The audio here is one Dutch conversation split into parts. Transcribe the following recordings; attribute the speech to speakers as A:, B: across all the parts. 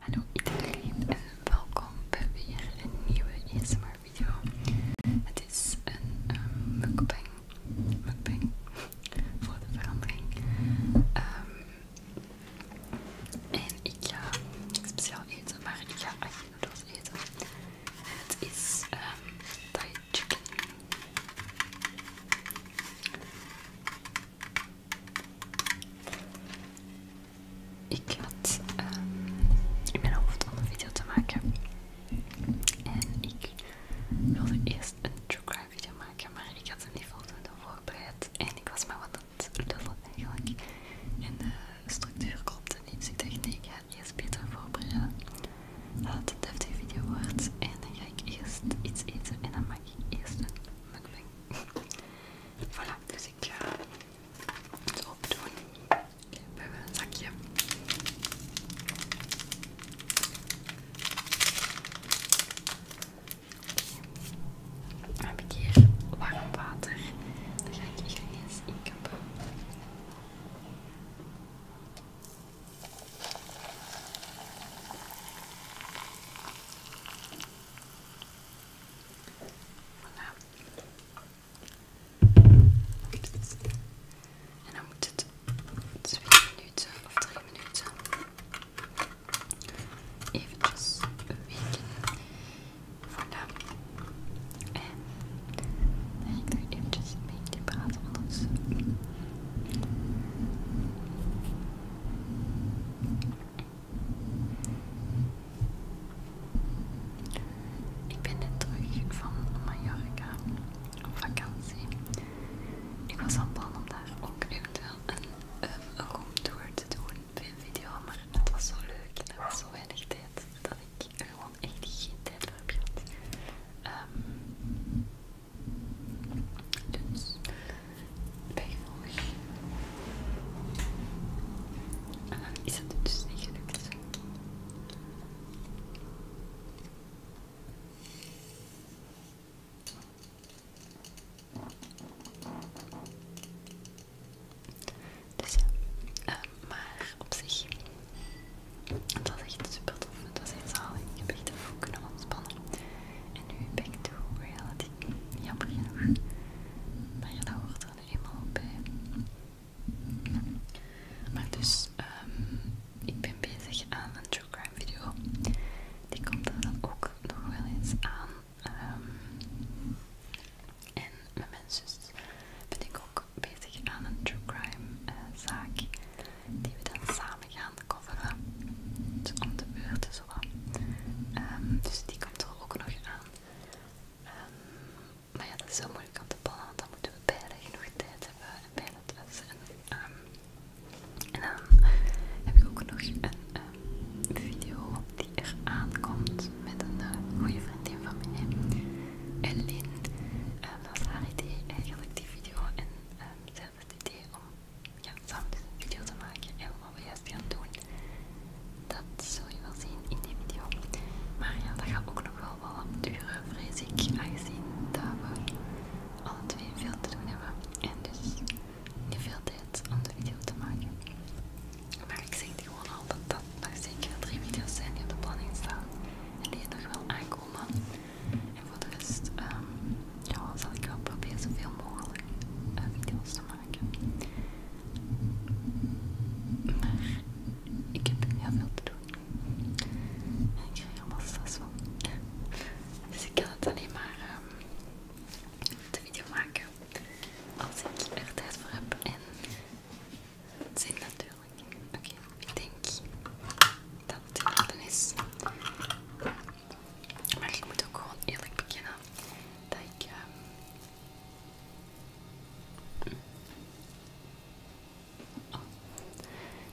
A: Hallo iedereen en eh, welkom bij weer een nieuwe ASMR video. Het is een ehm, mukbang, mukbang voor de verandering. Ehm, en ik ga speciaal eten, maar ik ga acht noedels eten. het is ehm, Thai chicken ik had ehm, in mijn hoofd om een video te maken. En ik wilde eerst een true crime video maken, maar ik had hem niet voldoende voorbereid. En ik was maar wat dat het eigenlijk. En de structuur klopte niet, dus ik ik ga het eerst beter voorbereiden. Dat het een deftige video wordt. En dan ga ik eerst iets eten en dan mag eerste ik eerst een voilà, dus ik ga eh, het opdoen. We hebben eh, een zakje. Dan heb ik hier warm water. Dan ga ik hier eens inkappen. En dan moet het twee minuten of drie minuten eventjes weken. Voilà. En dan ik er eventjes mee te praten, ik ben net terug van Mallorca op vakantie. Ik was van plan om daar ook eventueel een, room tour te doen bij een video, maar het was zo leuk en er was zo weinig tijd dat ik gewoon echt geen tijd voor heb gehad. Ehm, dus bijgevolg. En is het dus niet gelukt. Dus ja, uh, maar op zich het was echt super tof, het was heel zalig. Ik heb echt even kunnen ontspannen. En nu back to reality. Jammer genoeg. Maar ja, dat hoort er nu eenmaal bij. Maar dus, ehm, ik ben bezig aan een true crime video. Die komt dan ook nog wel eens aan. Ehm, en met mijn zus ben ik ook bezig aan een true crime eh, zaak. Die we dan samen gaan aan coveren. Dus om de beurt zo ehm, dus die komt er ook nog aan. Ehm, maar ja, dat is wel moeilijk aan te plannen, want dan moeten we beide genoeg tijd hebben en het thuis. Ehm, en, dan heb ik ook nog een video die er aankomt met een eh, goede vriendin van mij, Ellen. en dat was haar idee eigenlijk, die video. En het idee om ja, samen dus een video te maken en wat we juist gaan doen. Dat zul je wel zien in die video. Maar ja, dat gaat ook nog wel wat lang duren, vrees ik, aangezien dat we alle twee veel te doen hebben. En dus niet veel tijd om de video te maken. Maar ik zeg gewoon al dat dat nog zeker drie video's zijn die op de planning staan. En die nog wel aankomen. En voor de rest ehm, ja, zal ik wel proberen zoveel mogelijk eh, video's te maken. Maar ik heb heel veel te doen. En ik krijg helemaal stress van. Dus ik kan het alleen maar ehm, de video maken als ik er tijd voor heb en zin natuurlijk. Oké, ik denk dat het is. Maar ik moet ook gewoon eerlijk bekennen dat ik... Ehm,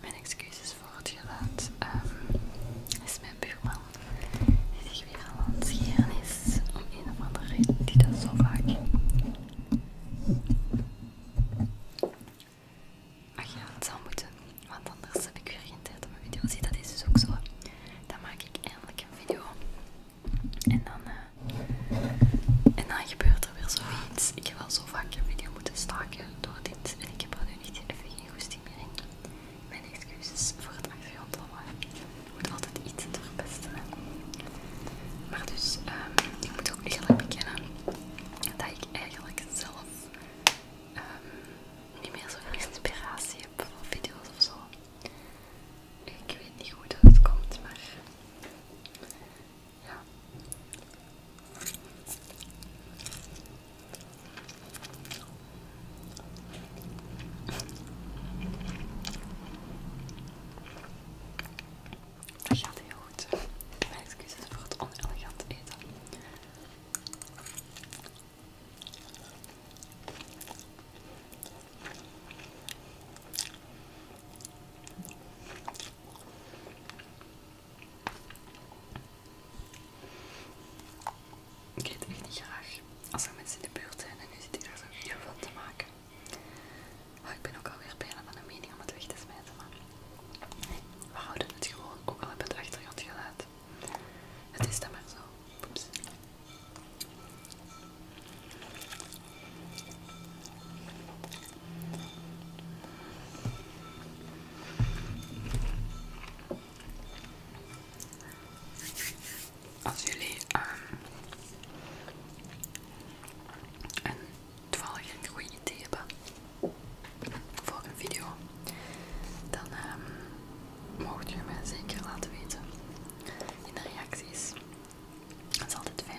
A: mijn excuses voor het geluid. Ehm, is mijn buurman die zich weer aan het scheren is om een of andere reden die dat zo vaak maar ja, het zal moeten, want anders heb ik weer geen tijd om een video. Zie, dat is dus ook zo. Dan maak ik eindelijk een video. En dan, eh, en dan gebeurt er weer zoiets. Ik heb wel zo vaak een video moeten staken door dit. En ik heb er nu niet even geen goesting meer in. Mijn excuses voor het achtergrondlawaai. Ik moet altijd iets te Maar dus, ehm, ik moet ook eerlijk bekennen dat ik eigenlijk zelf Ehm, niet meer zo'n inspiratie heb voor video's of zo. Ik weet niet hoe dat komt, maar ja. Dat gaat heel goed. Mijn excuses voor het onelegante eten. Ik eet echt niet graag als er mensen in de buurt zijn en nu zit ik daar zo'n video van te maken. Maar oh, ik ben ook alweer bijna van een mening om het weg te smijten, maar we houden het gewoon, ook al een beetje achtergrond gelaten. Het is dan maar zo. Oeps. Als jullie ehm, een toevallig een goede idee hebben voor een video, dan um, mocht je mij zeker laten weten in de reacties. Dat is altijd fijn.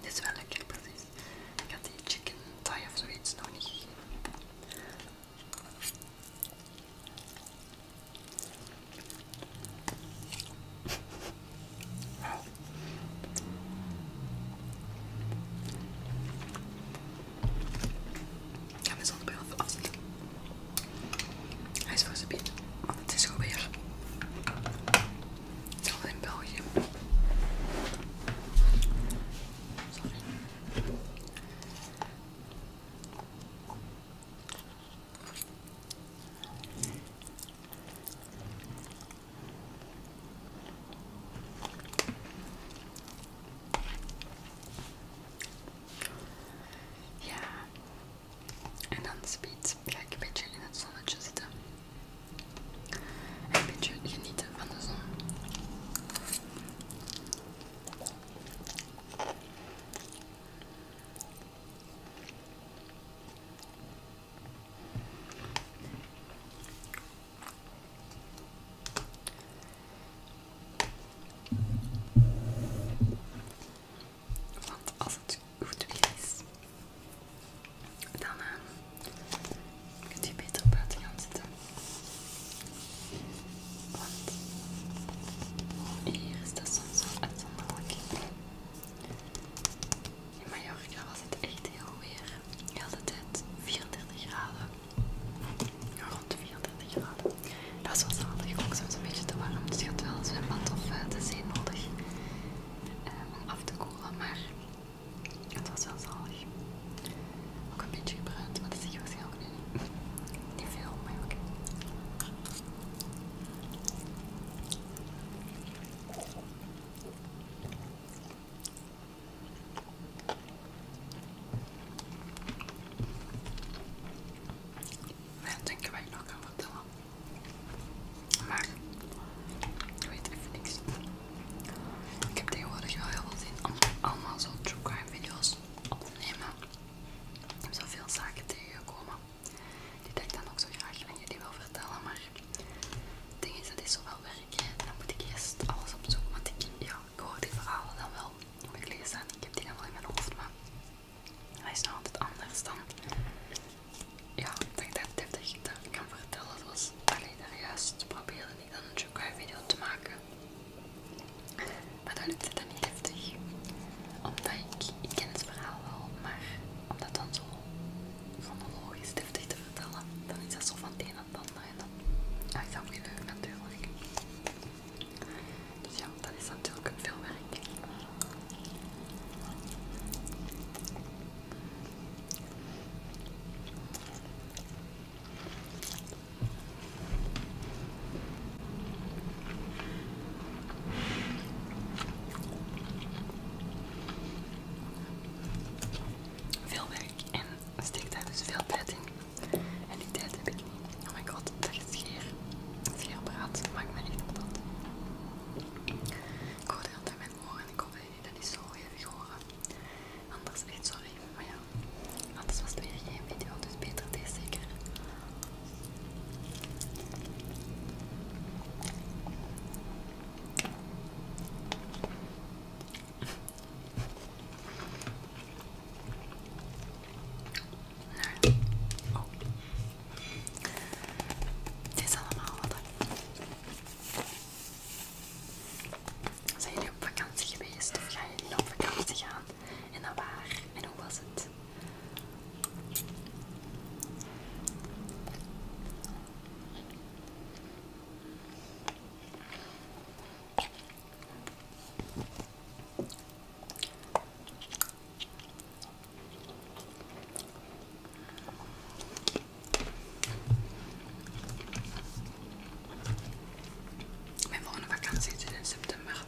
A: Dit is wel lekker, precies. Ik had die chicken thigh of zoiets nog niet ik ga mijn zonnebril off afzetten. Hij is voor zijn want het is gewoon in België. Sorry. Ja. En dan speed ga een beetje in het zonnetje zitten. En een beetje genieten van de zon. Want als het goed weer is, dan uh, kunt je beter het gaan zitten. Want hier is dat soms wel uitzonderlijk. In Mallorca was het echt heel weer. de hele tijd 34 graden. Rond 34 graden. Dat was wel zalig, ook soms een beetje te warm. Dus je had wel een zwembad of eh, de zee nodig eh, om af te koelen. Maar het was wel zalig. Ook een beetje gebruikt, maar dat is je waarschijnlijk nu niet. Niet veel, maar oké. Maar dat denken wij nog kan vertellen. Maar ik weet even niks. Ik heb tegenwoordig wel heel veel zin allemaal zo true crime video's opnemen. Ik heb zoveel zaken tegengekomen. Die dat ik dan ook zo graag je jullie wil vertellen, maar het ding is, dat is zoveel werk en dan moet ik eerst alles opzoeken, want ik, ja, ik hoor die verhalen dan wel gelezen ik heb die dan wel in mijn hoofd, maar hij is nou altijd anders dan, ja, dat ik dat deftig kan vertellen, zoals, alleen daar juist probeerde niet dan een Jokai video te maken, maar dat het dan niet heftig omdat ik, ik ken het verhaal wel, maar om dat dan zo logisch deftig te vertellen, dan is dat zo van het een naar het ander en dan ah, is dat moeilijk natuurlijk. Dus ja, dat is natuurlijk veel werk. Veel werk en steek daar dus veel tijd in. En die tijd heb ik niet. Oh my god, dat is geer. Scheerpraat, maakt me op dat. Ik hoor dat altijd mijn oren en ik hoop dat jullie dat niet zo hevig horen. Anders zo even, maar ja. Anders was het weer geen video, dus beter deze zeker. Nee. Oh. Het is allemaal wat. Zijn jullie op vakantie geweest of ga jullie op vakantie gaan? En dan waar? En hoe was het? Mijn volgende vakantie is in september.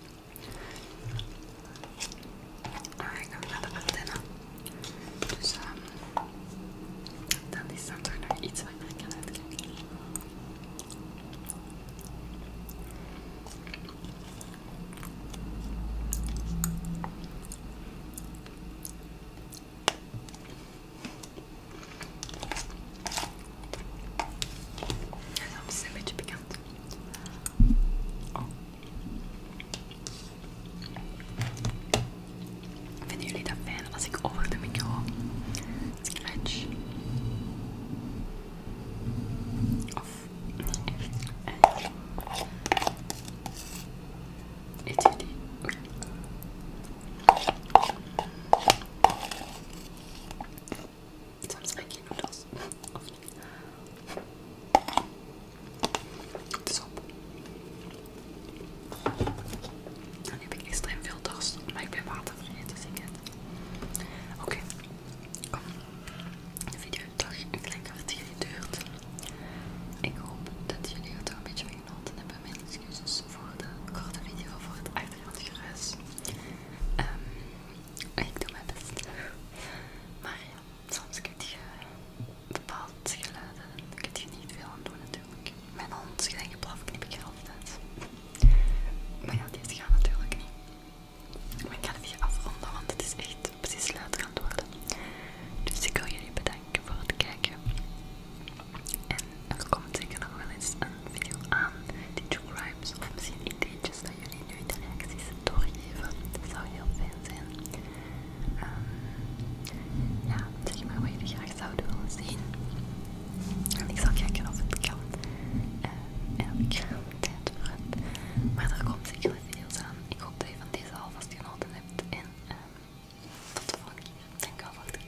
A: Maar ik heb naar de dus, ehm, is toch nog iets wat ik kan uitkijken. Ja, dat is een beetje Vinden jullie dat fijn als ik over de micro scratch? Of niet echt? Eh, Soms ik je noedels. Of niet? Het is op. Dan heb ik extreem veel dorst, maar ik ben water vergeten, dus ik het. Oké, De video heeft toch een het jullie geduurd. Ik hoop dat jullie het ook een beetje van genoten hebben. Mijn excuses voor de korte video, voor het achtergrondgeruis. Ehm ik doe mijn best. Maar ja, soms krijg je bepaald geluiden en kun je niet veel aan doen natuurlijk. Mijn hond is gelijk geblaf, knip ik er altijd. Maar ja, deze gaat natuurlijk niet. Maar ik ga het hier afronden, want het is echt precies luid aan het worden. Dus ik wil jullie bedanken voor het kijken. En er komt zeker nog wel eens een video aan die True of misschien ideetjes dat jullie nu de reacties doorgeven. Dat zou heel fijn zijn. Um, ja, zeg maar wat jullie graag zouden willen zien. En ik zal kijken of het kan. Uh, en of ik er tijd voor heb. Maar er komt zeker veel aan. Ik hoop dat je van deze alvast genoten hebt. En uh, tot de volgende keer. Dankjewel voor het